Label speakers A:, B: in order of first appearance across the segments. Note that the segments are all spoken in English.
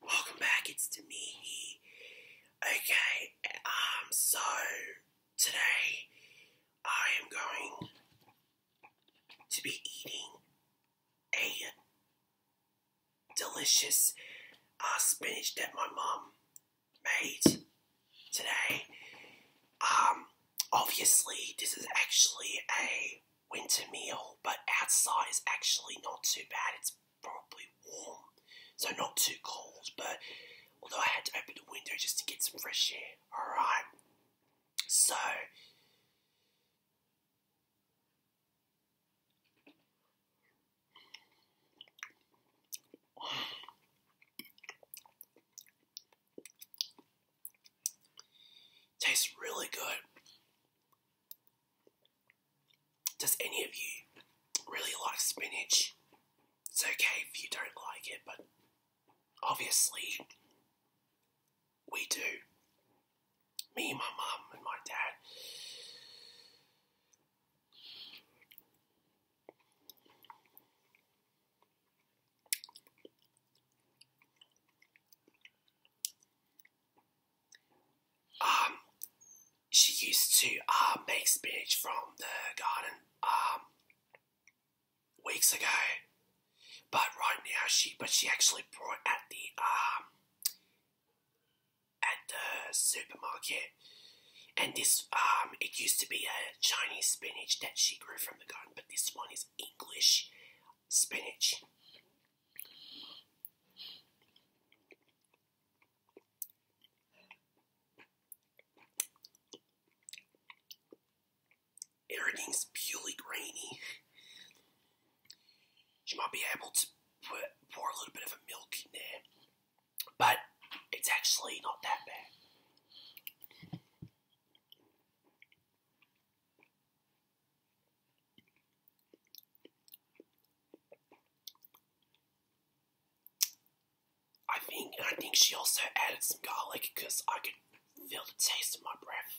A: Welcome back, it's to Okay, um, so today I am going to be eating a delicious uh, spinach that my mom made today. Um, obviously, this is actually a winter meal, but outside is actually not too bad. It's probably warm, so not too cold. But although I had to open the window just to get some fresh air, alright. So, Tastes really good. Does any of you really like spinach? It's okay if you don't like it, but obviously we do. Me, my mum, and my dad. Um, she used to uh, make spinach from the garden um, weeks ago, but right now she but she actually bought at the um, at the supermarket and this, um, it used to be a Chinese spinach that she grew from the garden, but this one is English spinach. Everything's purely grainy. You might be able to put, pour a little bit of a milk in there but it's actually not that bad. I think I think she also added some garlic because I could feel the taste in my breath.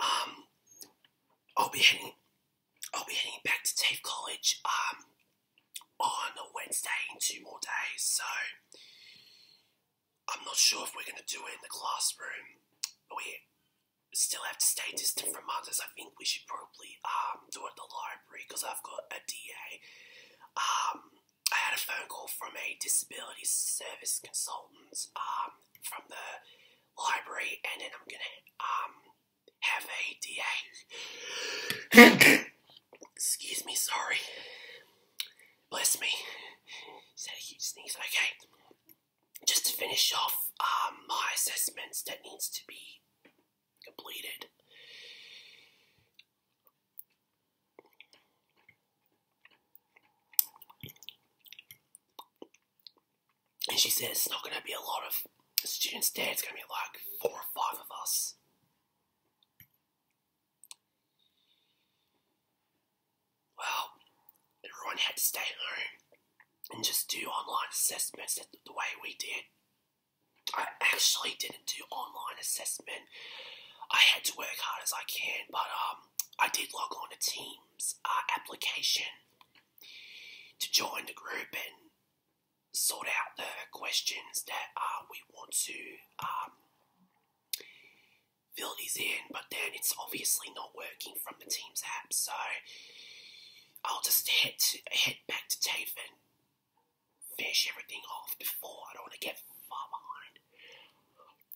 A: Um, I'll be heading, I'll be heading back to TAFE College um, on a Wednesday in two more days, so I'm not sure if we're going to do it in the classroom. We still have to stay distant from others. I think we should probably um, do it at the library because I've got a DA. Um, I had a phone call from a disability service consultant. Um, from the library, and then I'm gonna um have a DA. Excuse me, sorry. Bless me. Is that a Okay. Just to finish off um, my assessments that needs to be completed. And she said it's not going to be a lot of students there, it's going to be like four or five of us. Well, everyone had to stay home and just do online assessments the way we did. I actually didn't do online assessment. I had to work hard as I can, but um, I did log on to Teams uh, application to join the group and sort out the questions that uh, we want to um, fill these in, but then it's obviously not working from the Teams app, so I'll just head head back to TAFE and finish everything off before I don't want to get far behind.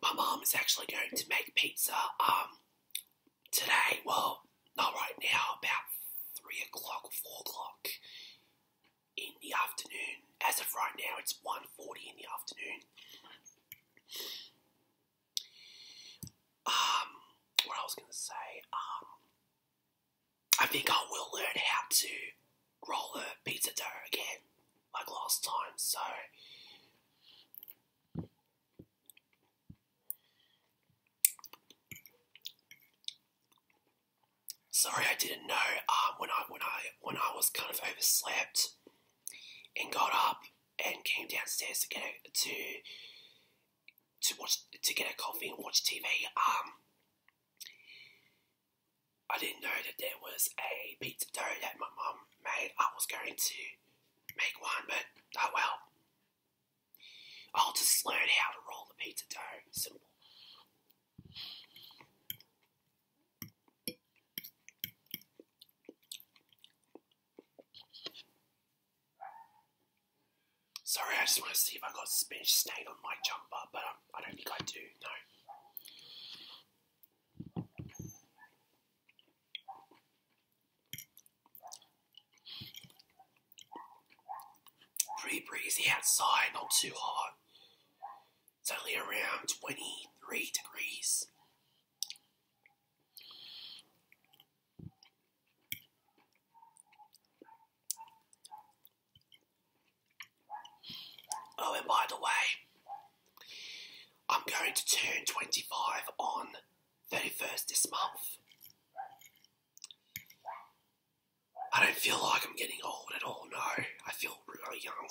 A: My mom is actually going to make pizza um today. Well, not right now, about three o'clock four o'clock in the afternoon as of right now, it's 1.40 in the afternoon. Um, what I was going to say, um, I think I will learn how to roll a pizza dough again, like last time, so sorry I didn't know um, when I when I when I was kind of overslept and got up and came downstairs to get a, to to watch to get a coffee and watch TV. Um, I didn't know that there was a pizza dough that my mom made. I was going to make one, but oh well. I'll just learn how to roll the pizza dough. Simple. Sorry, I just want to see if I got spinach stain on my jumper, but um, I don't think I do, no. Pretty breezy outside, not too hot. It's only around 23 degrees. Oh, and by the way, I'm going to turn 25 on 31st this month. I don't feel like I'm getting old at all, no. I feel really young.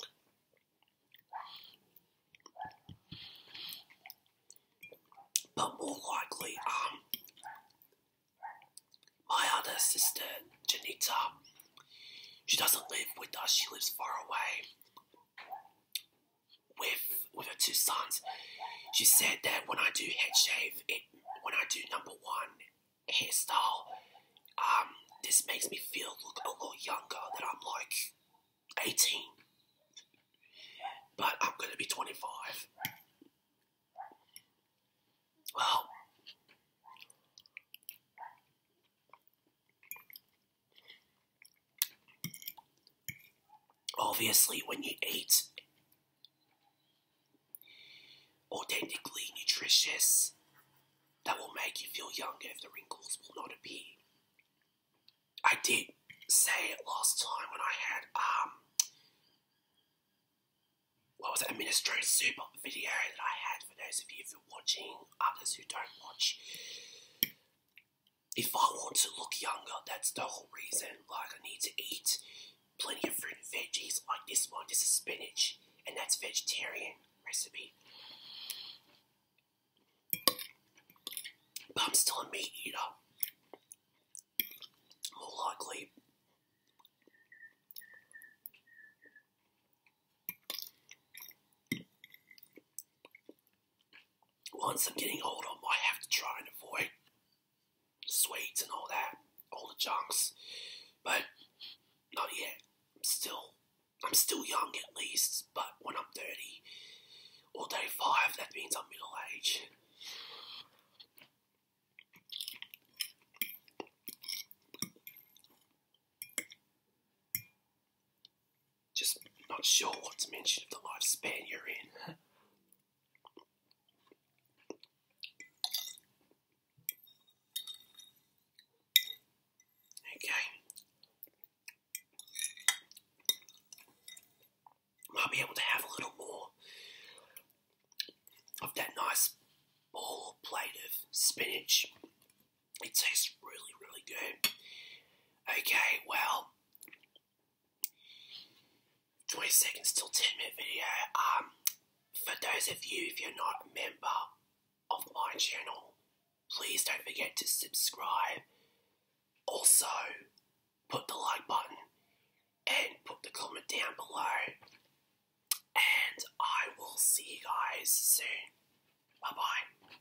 A: But more likely, um, my other sister, Janita, she doesn't live with us, she lives far away with with her two sons. She said that when I do head shave, it when I do number one, hairstyle. So, um, this makes me feel look a little younger than I'm like 18. But I'm gonna be 25. Well, obviously, when you eat Authentically nutritious that will make you feel younger if the wrinkles will not appear. I did say it last time when I had um what was that administrative super video that I had for those of you who are watching, others who don't watch. If I want to look younger, that's the whole reason. Like I need to eat plenty of fruit and veggies like this one. This is spinach, and that's vegetarian recipe. But I'm still a meat eater. More likely. Once I'm getting older, I have to try and avoid Sweats and all that, all the junks. But not yet. I'm still, I'm still young at least. But when I'm 30 or 35, that means I'm middle age. Just not sure what dimension of the lifespan you're in. Okay. Might be able to have a little more of that nice ball plate of spinach. It tastes really, really good. Okay, well, 20 seconds till 10 minute video. Um, for those of you, if you're not a member of my channel, please don't forget to subscribe. Also, put the like button and put the comment down below. And I will see you guys soon. Bye bye.